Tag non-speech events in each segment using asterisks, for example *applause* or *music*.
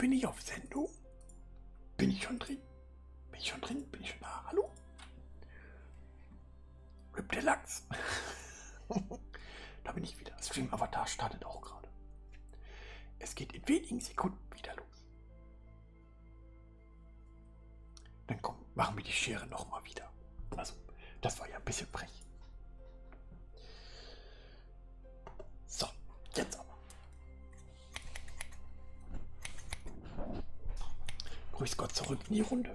Bin ich auf Sendung? Bin ich schon drin? Bin ich schon drin? Bin ich schon da? Hallo? Rip Deluxe. *laughs* da bin ich wieder. Stream Avatar startet auch gerade. Es geht in wenigen Sekunden wieder los. Dann komm, machen wir die Schere nochmal wieder. Also, das war ja ein bisschen frech. So, jetzt aber. Grüß Gott zurück in die Runde.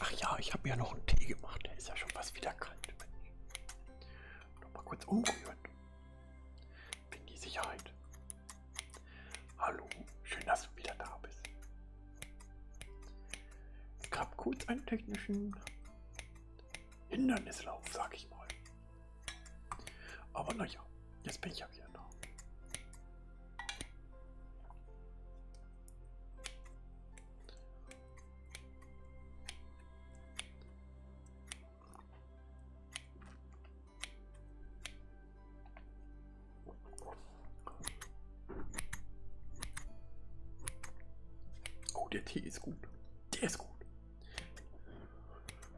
Ach ja, ich habe ja noch einen Tee gemacht. Der ist ja schon fast wieder kalt. Noch mal kurz umrühren. Wegen die Sicherheit. Hallo, schön, dass du wieder da bist. Es gab kurz einen technischen Hindernislauf, sag ich mal. Aber naja, jetzt bin ich ja wieder da. Oh, der Tee ist gut. Der ist gut.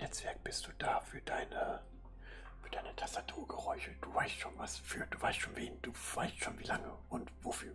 Netzwerk bist du da für deine für deine Tastaturgeräusche. Du weißt schon was für, du weißt schon wen, du weißt schon wie lange und wofür.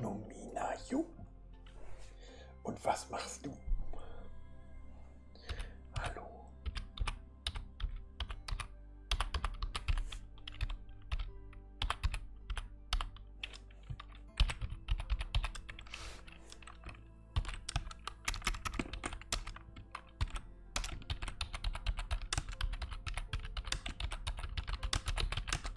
Nomina Jo. Und was machst du? Hallo.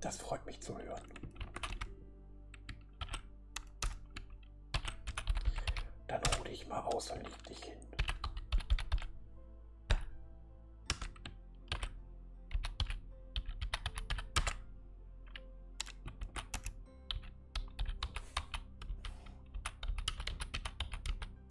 Das freut mich zu hören. Dann ruhe dich mal aus und leg dich hin.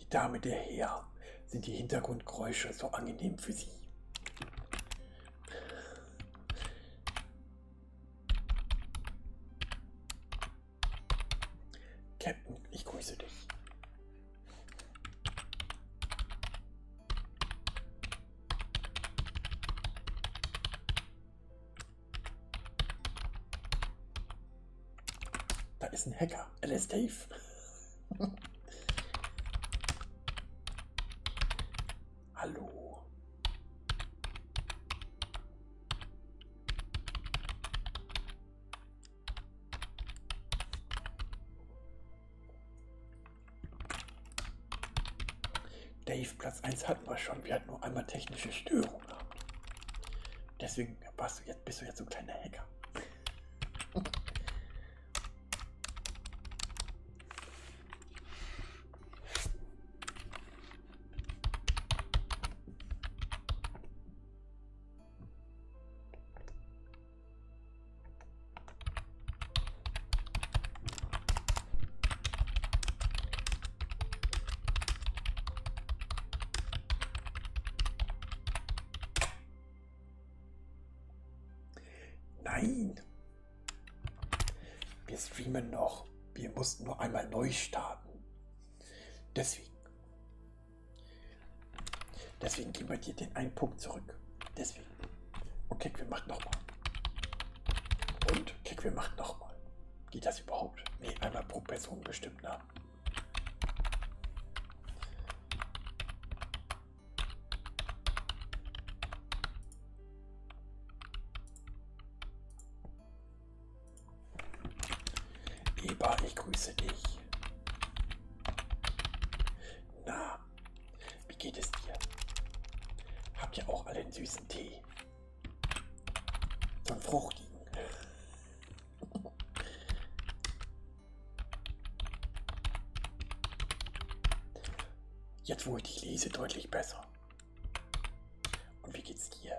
Die Dame der Herr sind die Hintergrundgeräusche so angenehm für sie. Captain, ich grüße dich. Da ist ein Hacker. LS Dave. *laughs* Hallo. Dave, Platz 1 hatten wir schon. Wir hatten nur einmal technische Störung gehabt. Deswegen bist du jetzt, bist du jetzt so ein kleiner Hacker. Nein. Wir streamen noch. Wir mussten nur einmal neu starten. Deswegen. Deswegen geben wir dir den einen Punkt zurück. Deswegen. Und Kekwe macht nochmal. Und Kekwe macht nochmal. Geht das überhaupt? Ne, einmal pro Person bestimmt, ne? Eba, ich grüße dich. Na, wie geht es dir? Habt ihr auch alle einen süßen Tee? Von fruchtigen. Jetzt, wo ich dich lese, deutlich besser. Und wie geht's dir?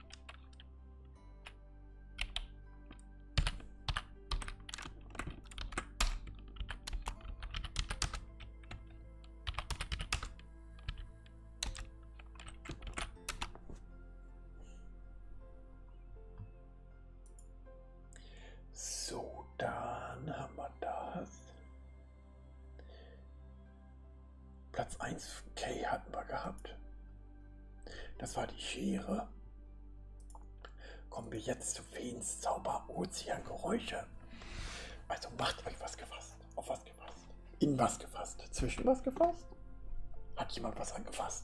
So, dann haben wir das. Platz 1 K hatten wir gehabt. Das war die Schere. Kommen wir jetzt zu Feens Zauber Ozean Geräusche. Also macht euch was gefasst. Auf was gefasst. In was gefasst. Zwischen was gefasst. Hat jemand was angefasst?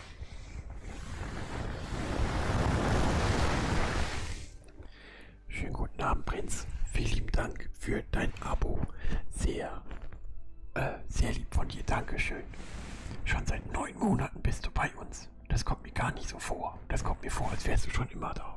Schönen guten Abend, Prinz. Vielen lieben Dank für dein Abo. Sehr, äh, sehr lieb von dir. Dankeschön. Schon seit neun Monaten bist du bei uns. Das kommt mir gar nicht so vor. Das kommt mir vor, als wärst du schon immer da.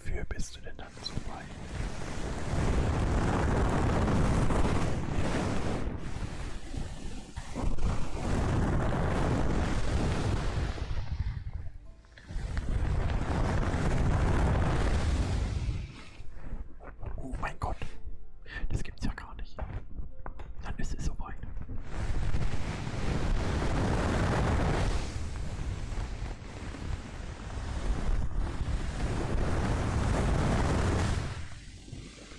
Wofür bist du denn dann so weit? Oh mein Gott, das gibt's ja gar nicht. Dann ist es soweit.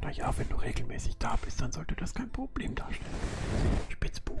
Naja, wenn du regelmäßig da bist, dann sollte das kein Problem darstellen. Spitzbub.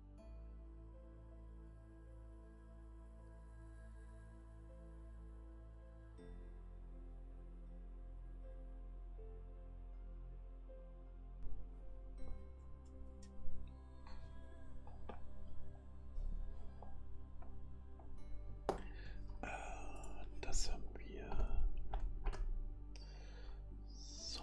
Äh, das haben wir. So,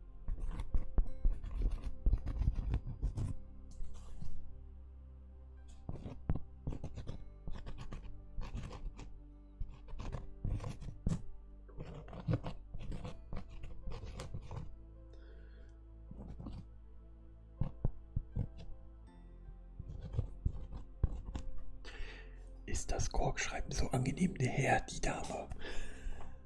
Ist das Korkschreiben so angenehm? Der Herr, die Dame.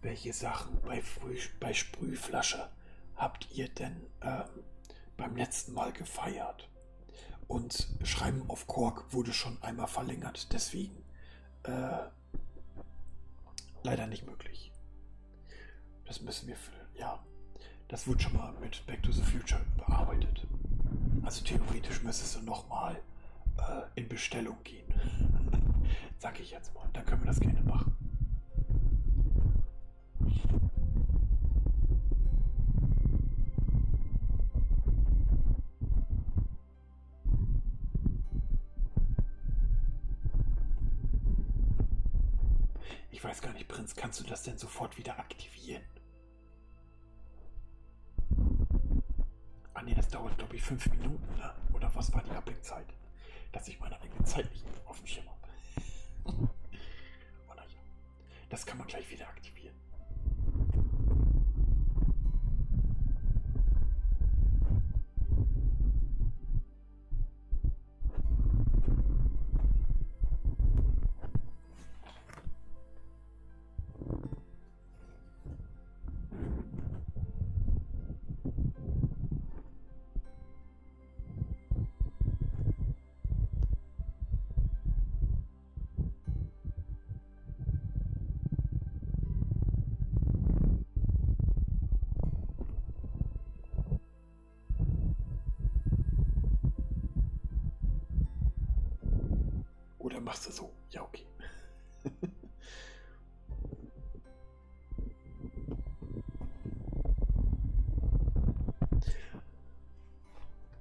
Welche Sachen bei, Früh, bei Sprühflasche habt ihr denn ähm, beim letzten Mal gefeiert? verlängert. Und Schreiben auf Kork wurde schon einmal verlängert, deswegen äh, leider nicht möglich. Das müssen wir füllen. Ja, das wurde schon mal mit Back to the Future bearbeitet. Also theoretisch müsstest du nochmal äh, in Bestellung gehen. *laughs* Sag ich jetzt mal. Dann können wir das gerne machen. Ich weiß gar nicht, Prinz, kannst du das denn sofort wieder aktivieren? Ah nee, das dauert glaube ich fünf Minuten, ne? Oder was war die Abhängigkeit? Dass ich meine eigene Zeit nicht auf dem Schirm habe. *laughs* Oder ja. Das kann man gleich wieder aktivieren. Oder machst du so? Ja, okay.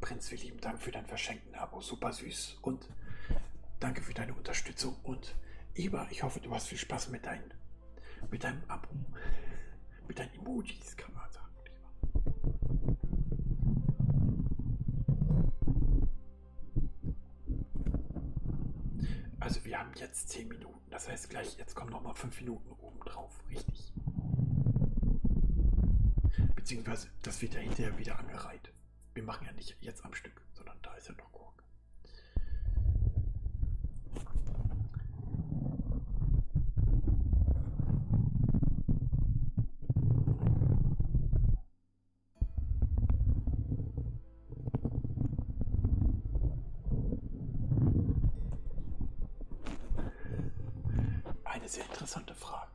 Prinz, wir lieben Dank für dein verschenkten Abo. Super süß. Und danke für deine Unterstützung. Und Iba, ich hoffe, du hast viel Spaß mit, dein, mit deinem Abo. Mit deinen Emojis, kann man sagen. Also wir haben jetzt 10 Minuten. Das heißt gleich, jetzt kommen nochmal 5 Minuten. Minuten obendrauf, richtig. Beziehungsweise, das wird ja hinterher wieder angereiht. Wir machen ja nicht jetzt am Stück, sondern da ist ja noch Kork. Eine sehr eine interessante Frage.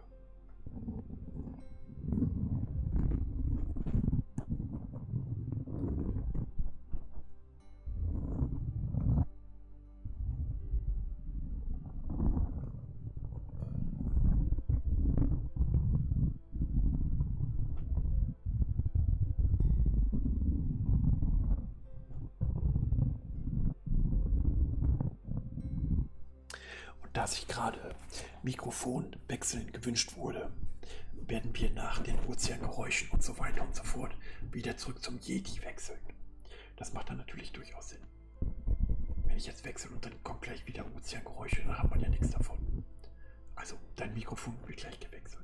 Und da sich gerade Mikrofon wechseln gewünscht wurde, werden wir nach den Ozeangeräuschen und so weiter und so fort wieder zurück zum Yeti wechseln. Das macht dann natürlich durchaus Sinn. Wenn ich jetzt wechsle und dann kommt gleich wieder Ozeangeräusche, dann hat man ja nichts davon. Also, dein Mikrofon wird gleich gewechselt.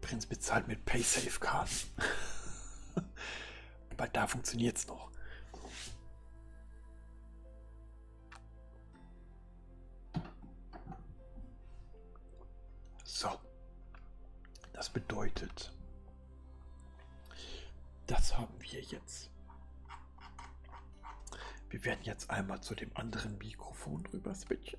Prinz bezahlt mit PaySafe-Karten. Aber *laughs* da funktioniert es noch. So. Das bedeutet, das haben wir jetzt. Wir werden jetzt einmal zu dem anderen Mikrofon rüber switchen.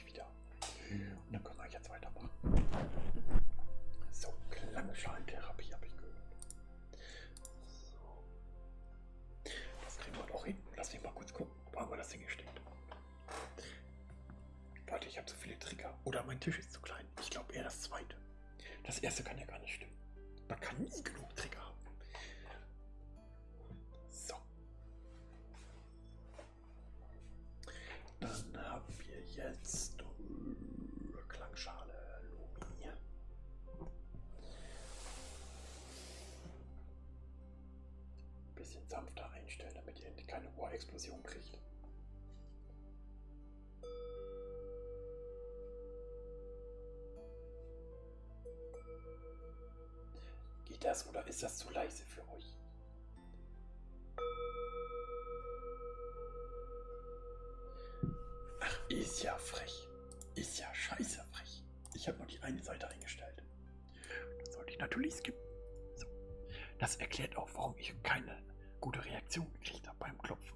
gleich wieder. Und dann können wir jetzt weitermachen. So, Klangschalentherapie habe ich gehört. So. Das kriegen wir doch hin. Lass mich mal kurz gucken, wo haben wir das Ding gesteckt. Warte, ich habe zu so viele Trigger. Oder mein Tisch ist zu klein. Ich glaube eher das zweite. Das erste kann ja gar nicht stimmen. Man kann nie genug Trigger haben. So. Dann haben wir jetzt äh, Klangschale, Lomi. Bisschen sanfter einstellen, damit ihr keine Ohrexplosion kriegt. Geht das oder ist das zu leise für euch? Ach, ist ja frech. Ist ja scheiße frech. Ich habe nur die eine Seite eingestellt. Das sollte ich natürlich skippen. So. Das erklärt auch, warum ich keine gute Reaktion gekriegt habe beim Klopfen.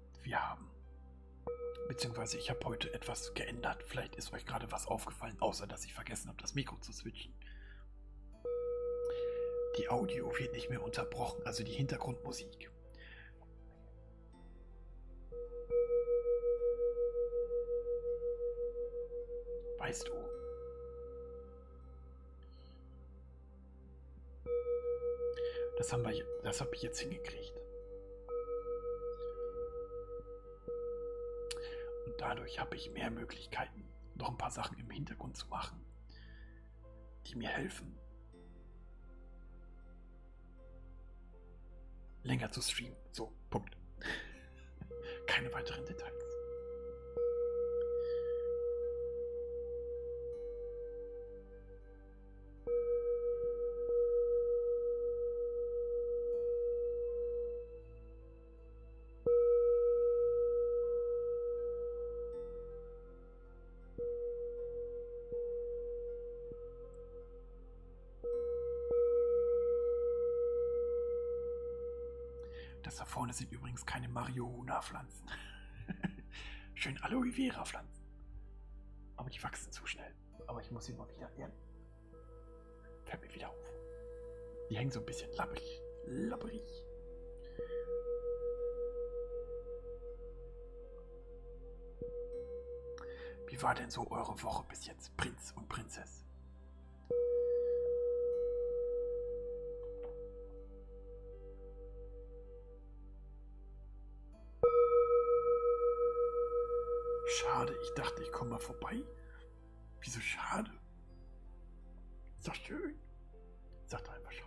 wir haben. Beziehungsweise ich habe heute etwas geändert. Vielleicht ist euch gerade was aufgefallen, außer dass ich vergessen habe, das Mikro zu switchen. Die Audio wird nicht mehr unterbrochen, also die Hintergrundmusik. Weißt du? Das haben wir, das habe ich jetzt hingekriegt. Und dadurch habe ich mehr Möglichkeiten, noch ein paar Sachen im Hintergrund zu machen, die mir helfen, länger zu streamen. So, Punkt. *laughs* Keine weiteren Details. Das da vorne sind übrigens keine Marihuana-Pflanzen. *laughs* Schön Aloe Vera-Pflanzen. Aber die wachsen zu schnell. Aber ich muss sie mal wieder ehren. Fällt mir wieder auf. Die hängen so ein bisschen lapprig. Lapprig. Wie war denn so eure Woche bis jetzt, Prinz und Prinzess? Schade, ich dachte, ich komme mal vorbei. Wieso schade? Ist doch schön. Sag doch einfach schade.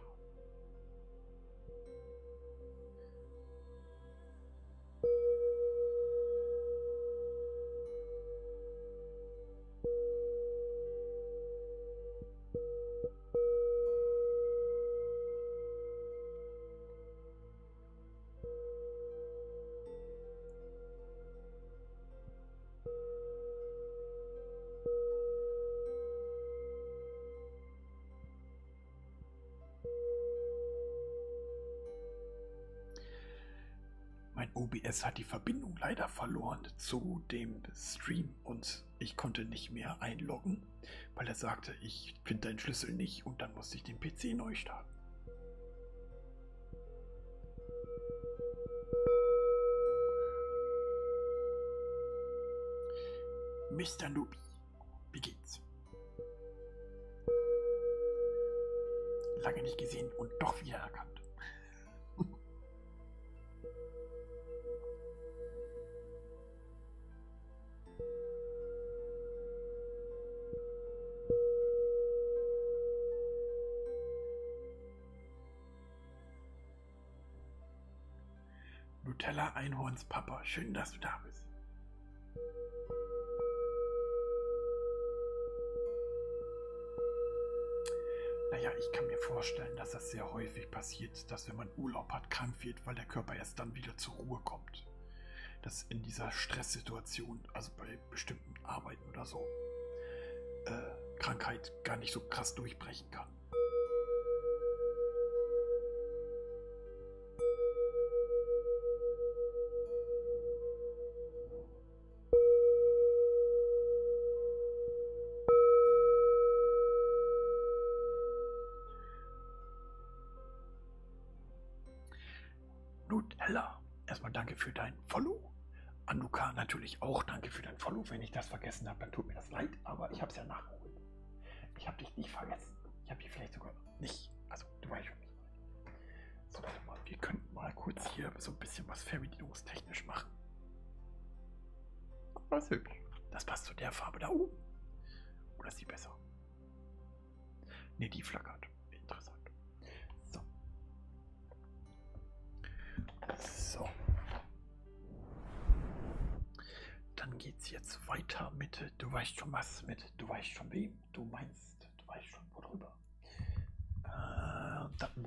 Mein OBS hat die Verbindung leider verloren zu dem Stream und ich konnte nicht mehr einloggen, weil er sagte, ich ich finde deinen Schlüssel nicht und dann musste ich den PC neu starten. Mr. Nubi, wie geht's? Lange nicht gesehen und doch wieder erkannt. Nutella Einhornspapa, schön, dass du da bist. Naja, ich kann mir vorstellen, dass das sehr häufig passiert, dass wenn man man Urlaub hat, krank wird, weil der Körper erst dann wieder zur Ruhe kommt. Das in dieser Stresssituation, also bei bestimmten Arbeiten oder so, äh, Krankheit gar nicht so krass durchbrechen kann. Nutella, erstmal danke für dein Follow. Anuka natürlich auch danke für dein Follow. Wenn ich das vergessen habe, dann tut mir das leid, aber ich habe es ja nachgeholt. Ich habe dich nicht vergessen. Ich habe dich vielleicht sogar nicht. Also, du weißt schon nicht. So, warte mal, wir könnten mal kurz hier so ein bisschen was fernbedienungstechnisch machen. Das ist hübsch. Das passt zu der Farbe da oben. Oder ist die besser? Ne, die flackert. Interessant. So. So. Dann geht's jetzt weiter mit Du weißt schon was, mit Du weißt schon wem, du meinst, du weißt schon worüber. Äh, dann.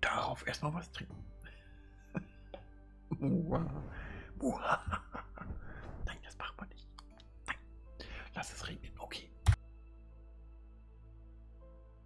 Darauf erstmal was trinken. Muah. *laughs* Muah. Nein, das macht man nicht. Nein. Lass es regnen. Okay.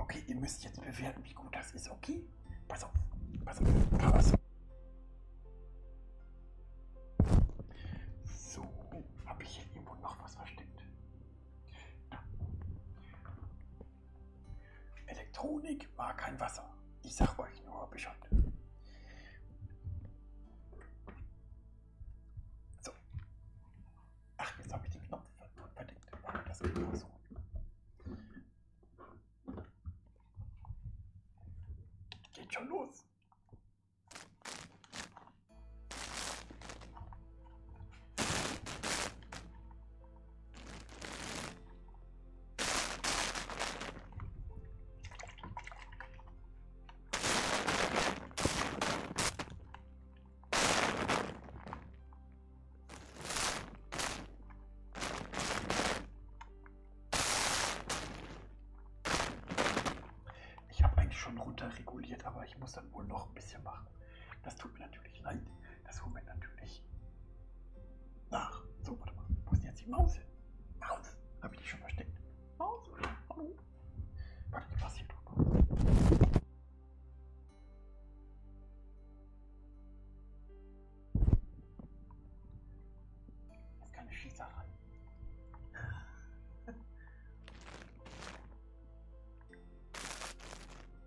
Okay, ihr müsst jetzt bewerten, wie gut das ist, okay? Pass auf, pass auf, pass auf. So, habe ich hier irgendwo noch was versteckt? Da. Elektronik mag kein Wasser. Ich sag euch nur Bescheid. So. Ach, jetzt habe ich den Knopf verdeckt. Das geht auch so. Geht schon los. Ich habe eigentlich schon runterreguliert, aber ich muss dann wohl noch ein bisschen machen. Das tut mir natürlich leid. Das holen wir natürlich nach. So, warte mal. Wo ist denn jetzt die Maus hin? Maus! Habe ich die schon versteckt? Maus? Hallo? Warte, die passiert. Jetzt keine Schießerei. *laughs*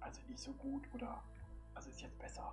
Also nicht so gut, oder? Also ist jetzt besser.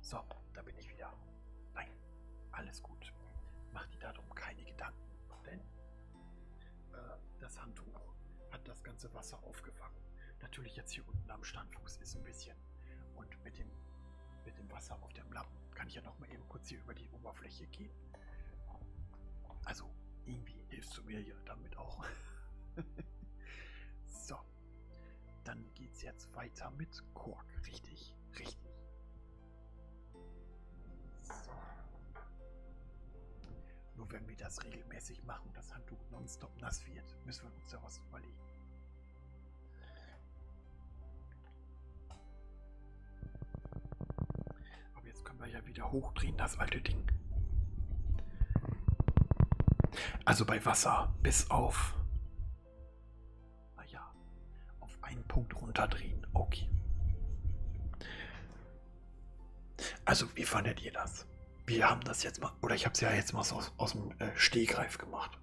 So, da bin ich wieder. Nein, alles gut. Mach dir darum keine Gedanken, denn äh, das Handtuch hat das ganze Wasser aufgefangen. Natürlich jetzt hier unten am Standfuß ist ein bisschen. Und mit dem, mit dem Wasser auf dem Lappen kann ich ja noch mal eben kurz hier über die Oberfläche gehen. Also irgendwie hilfst du mir ja damit auch. *laughs* so super. Dann geht's jetzt weiter mit Kork. Richtig, richtig. So. Nur wenn wir das regelmäßig machen und das Handtuch nonstop nass wird, müssen wir uns ja was überlegen. Aber jetzt können wir ja wieder hochdrehen, das alte Ding. Also bei Wasser bis auf. Naja, auf einen Punkt runterdrehen. Okay. Also, wie fandet ihr das? Wir haben das jetzt mal, oder ich habe es ja jetzt mal so aus, aus dem äh, Stehgreif gemacht.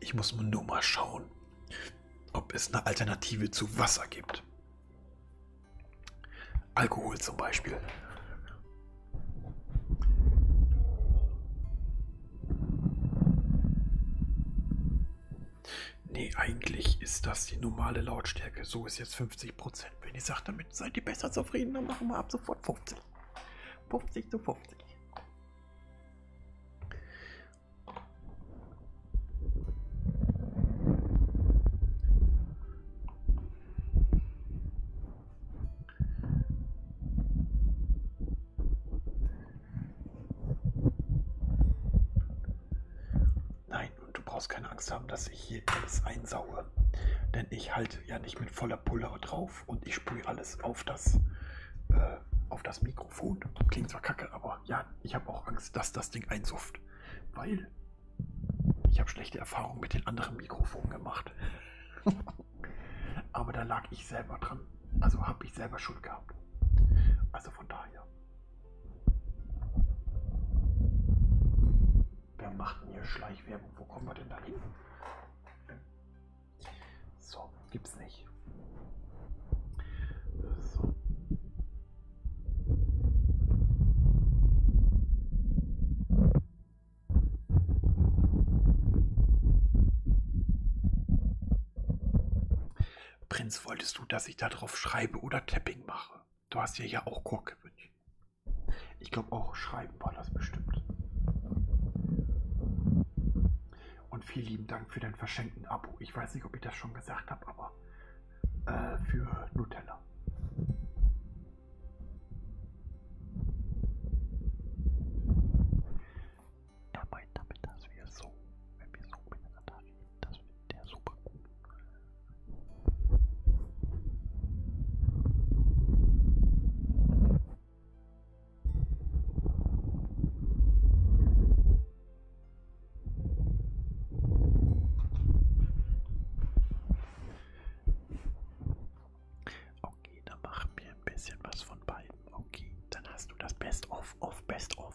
Ich muss nur mal schauen, ob es eine Alternative zu Wasser gibt. Alkohol zum Beispiel. Nee, eigentlich ist das die normale Lautstärke. So ist jetzt 50%. Wenn ihr sagt, damit seid ihr besser zufrieden, dann machen wir ab sofort 50. 50 zu 50. Nein, und du brauchst keine Angst haben, dass ich hier alles einsaue. Denn ich halte ja nicht mit voller Pulle drauf und ich sprühe alles auf das, äh, auf das Mikrofon. Klingt zwar kacke, aber ja, ich habe auch Angst, dass das Ding einsufft. Weil ich habe schlechte Erfahrungen mit den anderen Mikrofonen gemacht. *laughs* aber da lag ich selber dran. Also habe ich selber Schuld gehabt. Also von daher Wer macht denn hier Schleichwerbung? Wo kommen wir denn da hin? So, gibt's nicht. So. Prinz, wolltest du, dass ich darauf schreibe oder Tapping mache? Ja, du hast dir ja auch Kork gewünscht. Ich glaube auch Schreiben war das bestimmt. Und vielen lieben Dank für dein verschenkten Abo. Ich weiß nicht, ob ich das schon gesagt habe, aber äh, für Nutella. Dabei, damit, dass wir so, wenn wir so miteinander Nein, das wird ja super gut. Okay, dann machen wir ein bisschen was von beiden. Okay, dann hast du das Best of of Best of.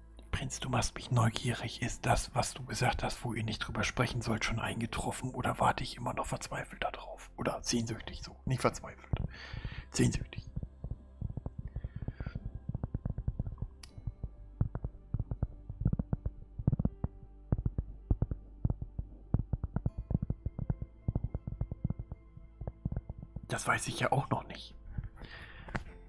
Prinz, du machst mich neugierig. Ist das, was du gesagt hast, wo ihr nicht drüber sprechen sollt, schon eingetroffen? Oder warte ich immer noch verzweifelt darauf? Oder sehnsüchtig so? Nicht verzweifelt. Sehnsüchtig. Das weiß ich ja auch noch nicht.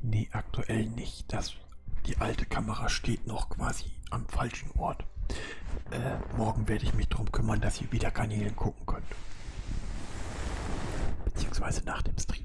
Nee, aktuell nicht. Das, die alte Kamera steht noch quasi am falschen Ort. Äh, morgen werde ich mich darum kümmern, dass ihr wieder Kanälen gucken könnt. Beziehungsweise nach dem Stream.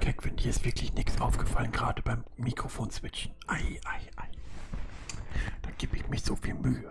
Kevin, dir ist wirklich nichts aufgefallen, gerade beim Mikrofon switchen. Ei, ei, ei. Da gebe ich mich so viel Mühe.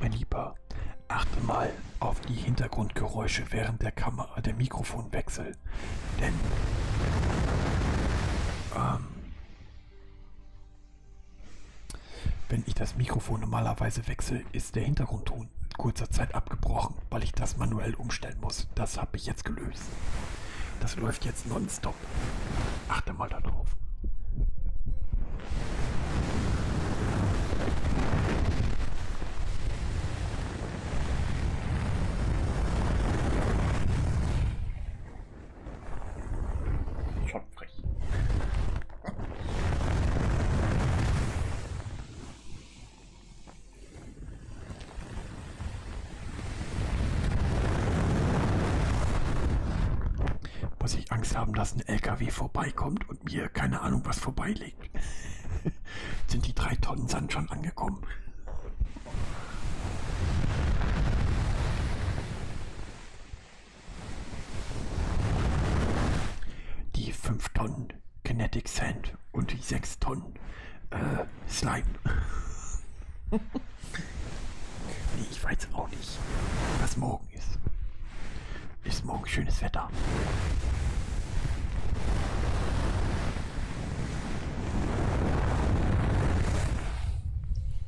Mein Lieber, achte mal auf die Hintergrundgeräusche während der Kamera, der Mikrofonwechsel. Denn ähm, wenn ich das Mikrofon normalerweise wechsle, ist der Hintergrundton kurzer Zeit abgebrochen, weil ich das manuell umstellen muss. Das habe ich jetzt gelöst. Das läuft jetzt nonstop. Achte mal darauf. Schon frech. Muss ich Angst haben, dass ein LKW vorbeikommt und mir keine Ahnung was vorbeilegt? *laughs* Sind die drei Tonnen Sand schon angekommen? Die 5 Tonnen Kinetic Sand und die 6 Tonnen äh, Slime. *laughs* nee, ich weiß auch nicht, was morgen ist. Ist morgen schönes Wetter.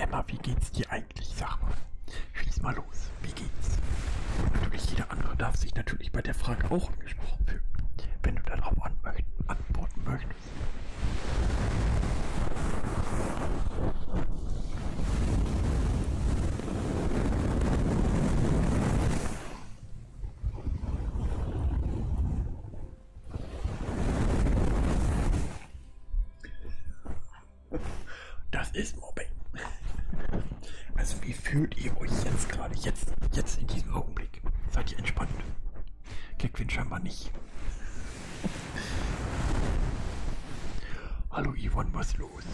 Emma, wie geht's dir eigentlich? Sag mal, schieß mal los. Wie geht's? Natürlich jeder andere darf sich natürlich bei der Frage auch angesprochen fühlen, wenn du darauf antworten möchtest. Das ist Mobbing. Also wie fühlt ihr euch jetzt gerade? Jetzt, jetzt in diesem Augenblick. Seid ihr entspannt? Keckwin scheinbar nicht. Hallo Yvonne, was los?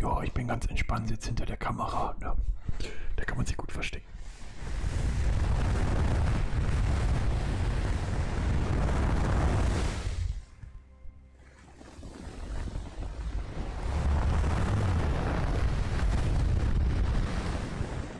Ja, ich bin ganz entspannt jetzt hinter der Kamera. Ne? Da kann man sich gut verstecken.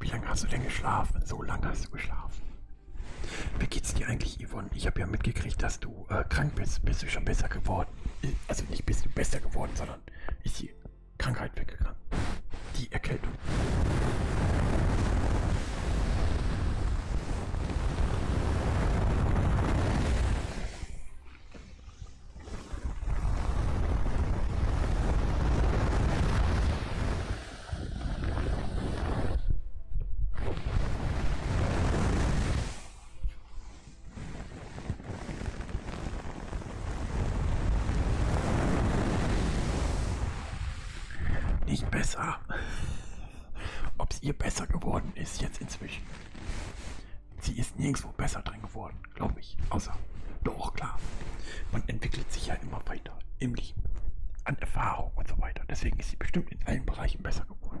Wie lange hast du denn geschlafen? So lange hast du geschlafen. Wie geht's dir eigentlich, Yvonne? Ich habe ja mitgekriegt, dass du äh, krank bist. Bist du schon besser geworden? Äh, also nicht bist du besser geworden, sondern ist sie Krankheit weggegangen. Die Erkältung. Nicht besser. *laughs* Ob es ihr besser geworden ist jetzt inzwischen. Sie ist nirgendwo besser drin geworden, glaube ich. Außer, doch, klar. Man entwickelt sich ja immer weiter im Leben. An Erfahrung und so weiter. Deswegen ist sie bestimmt in allen Bereichen besser geworden.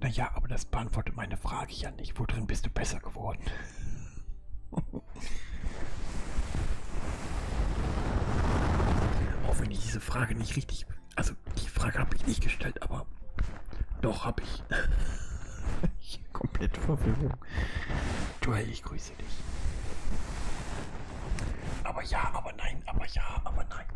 Naja, aber das beantwortet meine Frage ja nicht. Worin bist du besser geworden? *laughs* diese Frage nicht richtig. Also die Frage habe ich nicht gestellt, aber doch habe ich. *laughs* ich komplette Verwirrung. Joel, ich grüße dich. Aber ja, aber nein, aber ja, aber nein.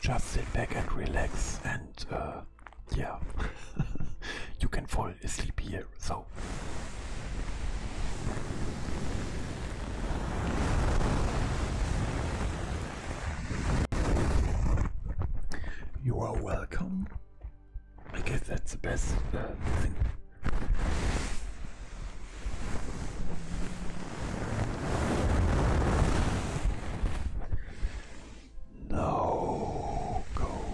Just sit back and relax and uh, yeah, *laughs* you can fall asleep here. So, You are welcome. I guess that's the best uh, thing. No, go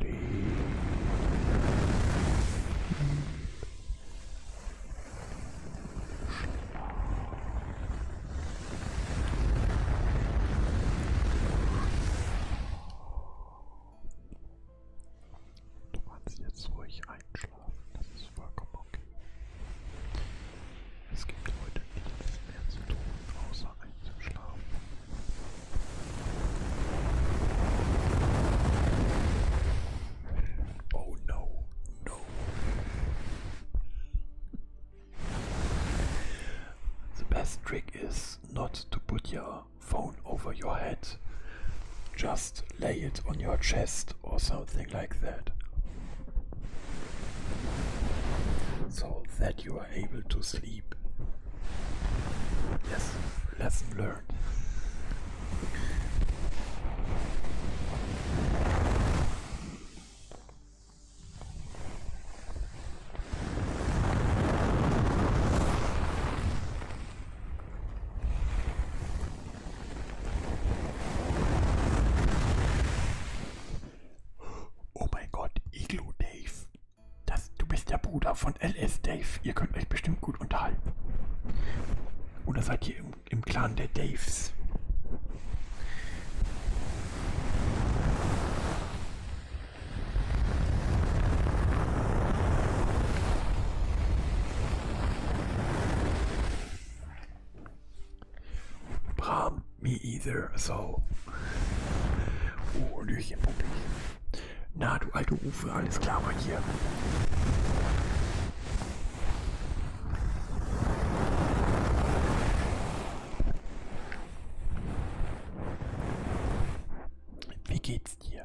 Leben. Du kannst jetzt ruhig einschlafen, das ist vollkommen okay. Es gibt heute nichts mehr zu tun, außer einzuschlafen. Oh no, no. The best trick is not to put your phone over your head, just lay it on your chest or something like that. So that you are able to sleep. Yes, let's learn. Oh my god, Igloo Dave. Das, du bist der Bruder von LS Dave. Ihr könnt euch bestimmt gut unterhalten. Oder seid ihr im, im Clan der Daves? Bram, me either, so. Oh, Hallöchen, Puppi. Na, du alte Ufe, alles klar bei dir. Wie geht's dir?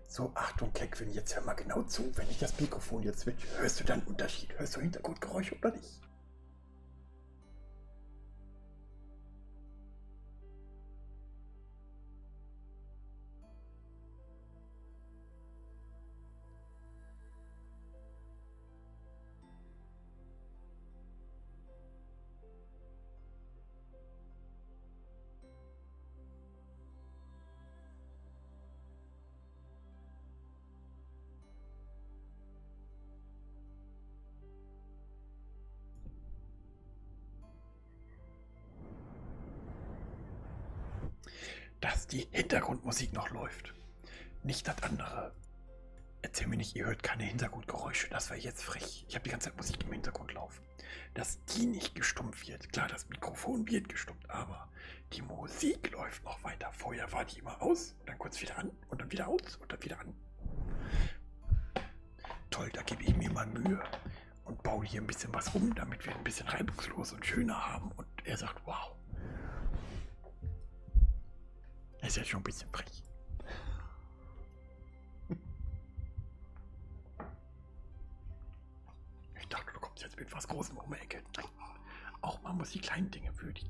So, Achtung, Keckwin, jetzt hör mal genau zu. Wenn ich das Mikrofon jetzt switch, hörst du dann Unterschied? Hörst du Hintergrundgeräusche oder nicht? dass die Hintergrundmusik noch läuft. Nicht das andere. Erzähl mir nicht, ihr hört keine Hintergrundgeräusche. Das wäre jetzt frech. Ich habe die ganze Zeit Musik im Hintergrund laufen auf, dass die nicht gestummt wird. Klar, das Mikrofon wird gestummt, aber die Musik läuft noch weiter. Vorher war die immer aus und dann kurz wieder an und dann wieder aus und dann wieder an. Toll, da gebe ich mir mal Mühe und baue hier ein bisschen was um, damit wir ein bisschen reibungslos und schöner haben. Und er sagt, wow. Das ist ja schon ein bisschen frech. Ich dachte, du kommst jetzt mit was Großem um die Ecke. Nein. Auch man muss die kleinen Dinge würdigen.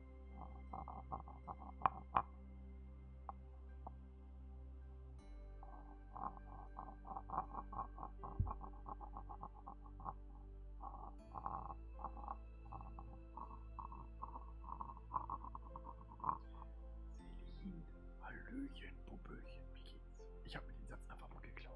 Selin, Hallöchen, Puppelchen, wie geht's? Ich habe mir den Satz einfach mal geklaut.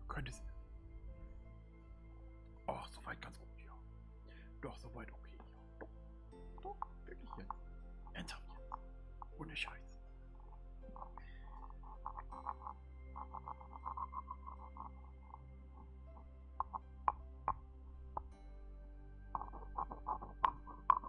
Du könntest... Ach, soweit ganz gut, ja. Doch, soweit okay, ja. Doch, doch wirklich jetzt. Ernsthaft jetzt. Ohne Scheiß.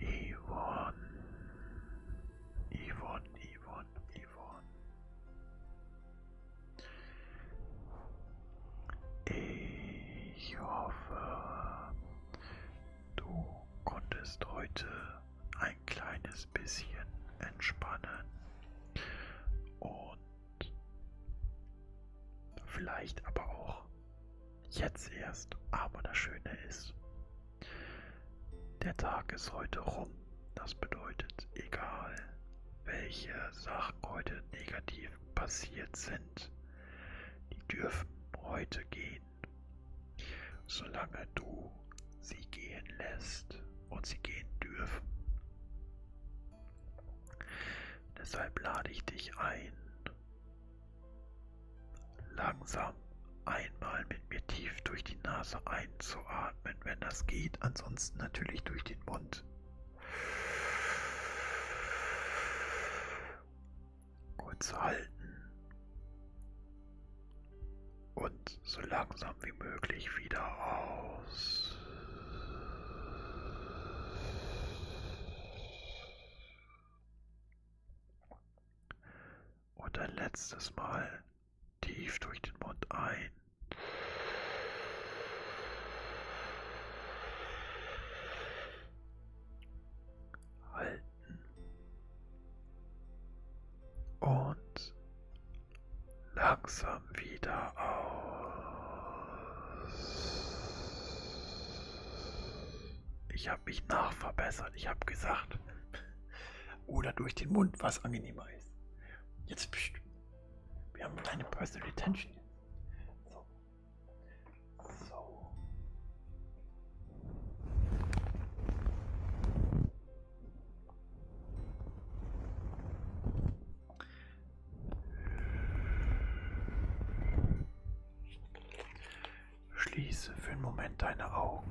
Yvonne. Yvonne, Yvonne, Yvonne. Ich hoffe, du konntest heute ein kleines bisschen entspannen und vielleicht aber auch Jetzt erst, aber das Schöne ist, der Tag ist heute rum. Das bedeutet, egal welche Sachen heute negativ passiert sind, die dürfen heute gehen. Solange du sie gehen lässt und sie gehen dürfen. Deshalb lade ich dich ein, Langsam einmal mit mir tief durch die Nase einzuatmen, wenn das geht, ansonsten natürlich durch den Mund. Kurz halten und so langsam wie möglich wieder aus. Und ein letztes Mal tief durch den Mund ein. Halten. Und langsam wieder aus. Ich habe mich nachverbessert. Ich habe gesagt, oder durch den Mund, was angenehmer ist. Jetzt, pst, wir haben keine Personal Attention. So. so. Schließe für einen Moment deine Augen.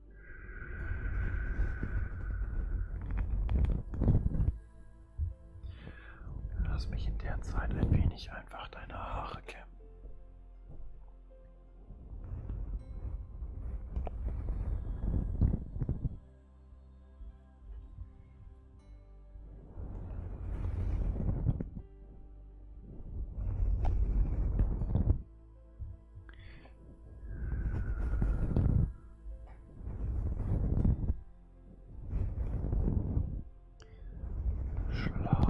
Lass mich in der Zeit ein wenig einfach deine Haare kämmen. Schlaf.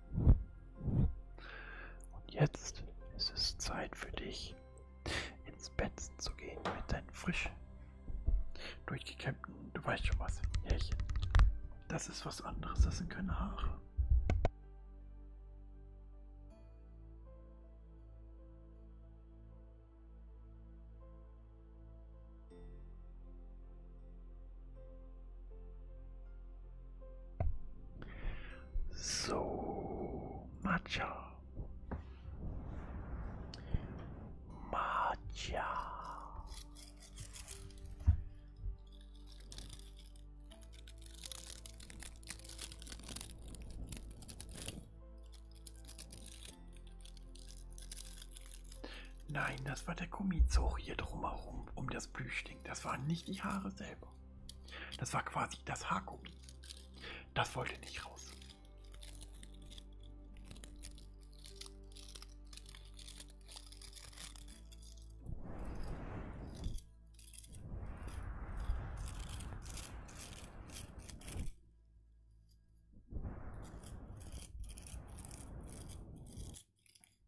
Und jetzt ist es Zeit für dich, ins Bett zu gehen mit deinen frisch durchgekämmten, du weißt schon was, Härchen. Das ist was anderes, das sind keine Haare. So, Matcha. Matcha. Nein, das war der Gummizug hier drumherum, um das Blüschling. Das waren nicht die Haare selber. Das war quasi das Haargummi. Das wollte nicht raus.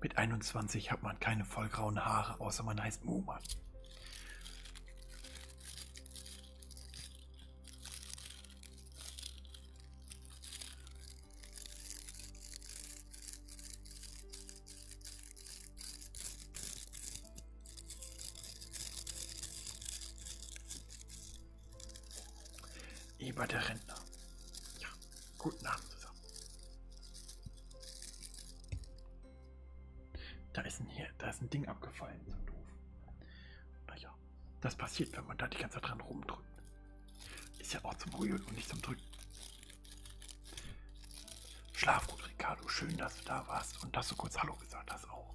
Mit 21 hat man keine vollgrauen Haare, außer man heißt Muman. Eber der Rentner. Ja, guten Abend zusammen. Da ist ein, hier, da ist ein Ding abgefallen zum so Doof. Naja, das passiert, wenn man da die ganze Zeit dran rumdrückt. Ist ja auch zum Rühren und nicht zum Drücken. Schlaf gut, Ricardo. Schön, dass du da warst und dass du kurz Hallo gesagt hast auch.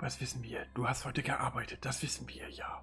Das wissen wir. Du hast heute gearbeitet. Das wissen wir, ja.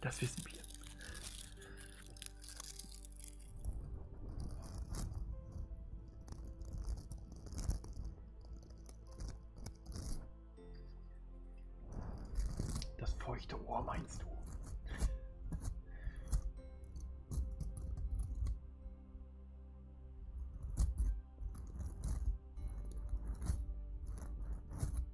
Das wissen wir. Das feuchte Ohr meinst du?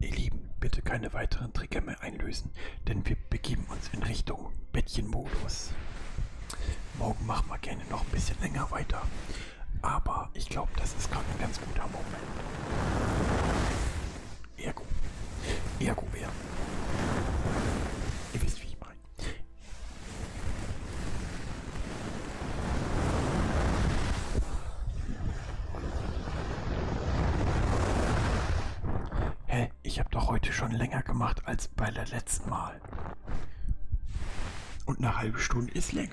Ihr Lieben, bitte keine weiteren Trigger mehr einlösen, denn wir begeben uns in Richtung Bettchenmodus. Morgen machen wir gerne noch ein bisschen länger weiter. Aber ich glaube, das ist gerade ein ganz guter Moment. Ergo. Ergo wäre. Ihr wisst, wie ich meine. Hä, ich habe doch heute schon länger gemacht als bei der letzten Mal. Und eine halbe Stunde ist länger.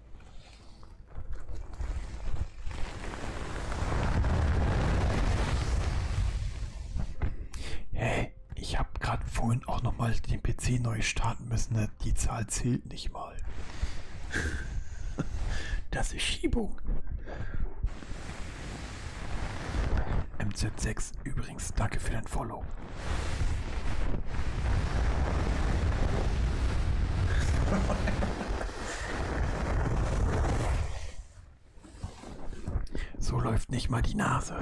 Hey, ich habe gerade vorhin auch nochmal den PC neu starten müssen. Ne? Die Zahl zählt nicht mal. *laughs* Das ist Schiebung. MZ6, übrigens, danke für dein Follow. *laughs* So läuft nicht mal die Nase.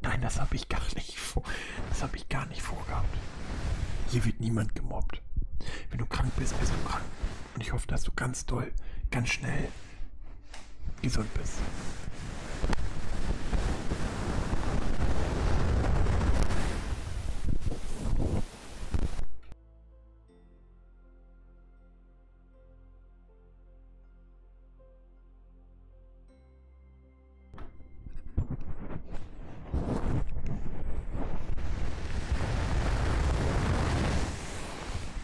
Nein, das habe ich gar nicht vor. Das habe ich gar nicht vorgehabt. Hier wird niemand gemobbt. Wenn du krank bist, bist du krank. Und ich hoffe, dass du ganz doll, ganz schnell gesund bist.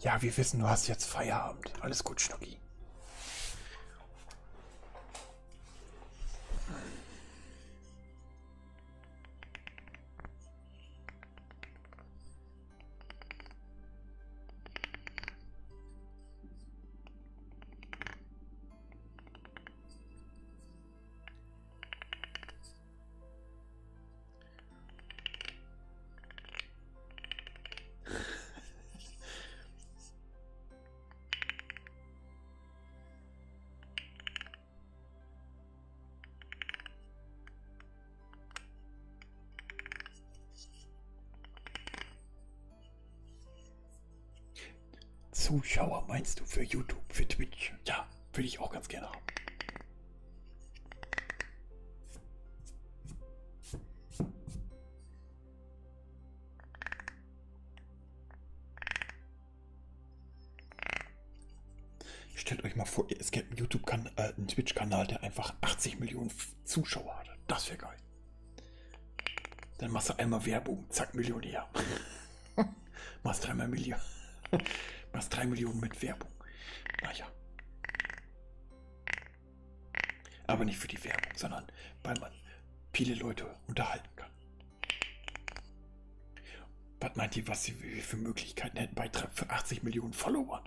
Ja, wir wissen, du hast jetzt Feierabend. Alles gut, Schnucki. Zuschauer meinst du für YouTube, für Twitch? Ja, würde ich auch ganz gerne haben. Stellt euch mal vor, es gäbe einen YouTube-Kanal, äh, einen Twitch-Kanal, der einfach 80 Millionen Zuschauer hat. Das wäre geil. Dann machst du einmal Werbung, zack, Millionär. *laughs* machst dreimal Million. *laughs* machst drei Millionen mit Werbung. Naja. Aber nicht für die Werbung, sondern weil man viele Leute unterhalten kann. Was meint ihr, was sie für Möglichkeiten hätten bei für 80 Millionen Follower?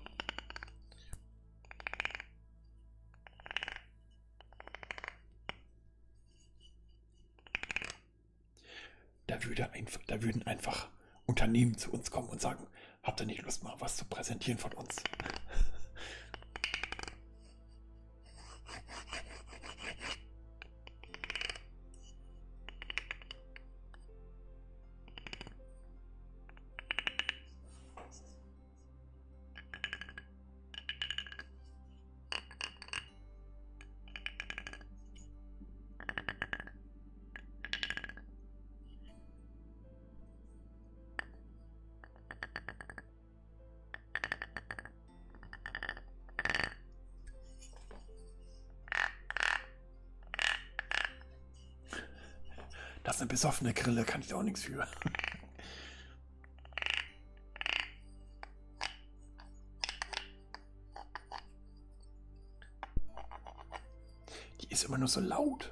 Da, würde einfach, da würden einfach Unternehmen zu uns kommen und sagen, habt ihr nicht Lust mal was zu präsentieren von uns? Das ist eine besoffene Grille, kann ich auch nichts für. Die ist immer nur so laut.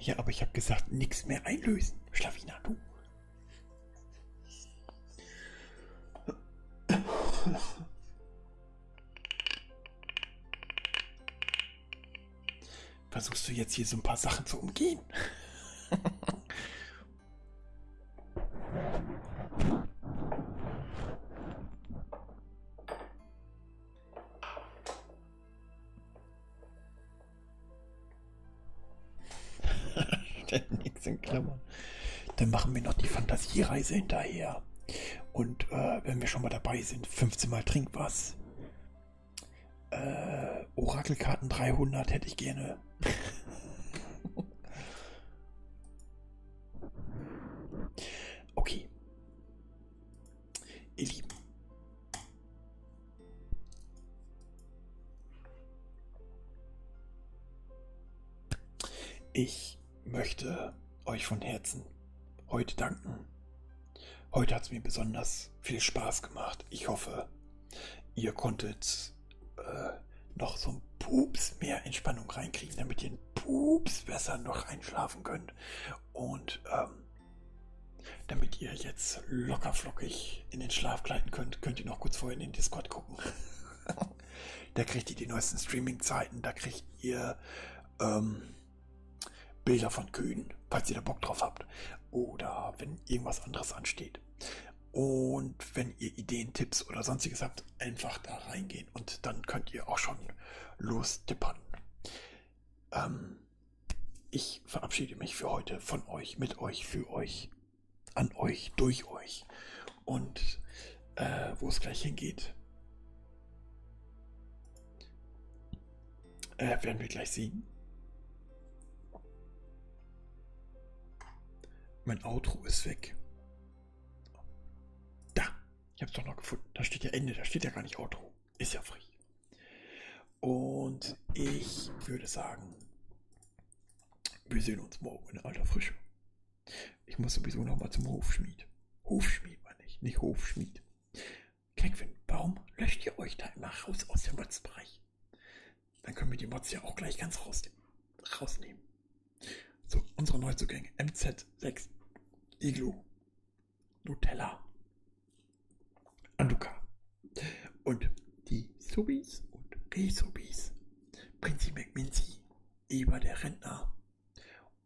Ja, aber ich habe gesagt, nichts mehr einlösen. Schlawiner, du. Versuchst du jetzt hier so ein paar Sachen zu umgehen? nichts *laughs* in Klammern. Dann machen wir noch die Fantasiereise hinterher. Und äh, wenn wir schon mal dabei sind, 15 Mal trink was. Äh, Orakelkarten 300 hätte ich gerne. okay. Ihr Lieben. Ich möchte euch von Herzen heute danken Heute hat es mir besonders viel Spaß gemacht. Ich hoffe, ihr konntet äh, noch so ein Pups mehr Entspannung reinkriegen, damit ihr ein Pups besser noch einschlafen könnt. Und ähm, damit ihr jetzt locker flockig in den Schlaf gleiten könnt, könnt ihr noch kurz vorher in den Discord gucken. *laughs* da kriegt ihr die neuesten Streaming-Zeiten, da kriegt ihr ähm, Bilder von Kühen, falls ihr da Bock drauf habt. Oder wenn irgendwas anderes ansteht. Und wenn ihr Ideen, Tipps oder sonstiges habt, einfach da reingehen. Und dann könnt ihr auch schon losdippern. Ähm, ich verabschiede mich für heute von euch, mit euch, für euch, an euch, durch euch. Und äh, wo es gleich hingeht. Äh, werden wir gleich siegen? Mein Outro ist weg. Da. Ich habe es doch noch gefunden. Da steht ja Ende. Da steht ja gar nicht Outro. Ist ja frei. Und ich würde sagen, wir sehen uns morgen in alter Frische. Ich muss sowieso nochmal zum Hofschmied. Hofschmied meine ich, nicht Hofschmied. Keck für den Baum, löscht ihr euch da immer raus aus dem Motzbereich. Dann können wir die Mods ja auch gleich ganz rausnehmen. So, unsere Neuzugänge. MZ6, Iglo, Nutella, Anduka und die Subis und Resubis. Prinzi McMinzi, Eber der Rentner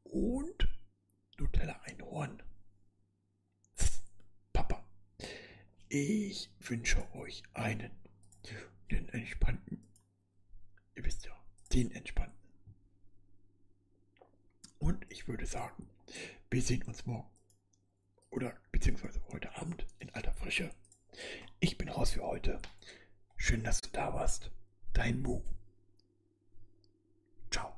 und Nutella Einhorn. Papa. Ich wünsche euch einen den entspannten. Ihr wisst ja, den entspannten. Und ich würde sagen, wir sehen uns morgen oder beziehungsweise heute Abend in alter Frische. Ich bin raus für heute. Schön, dass du da warst. Dein Mu. Ciao.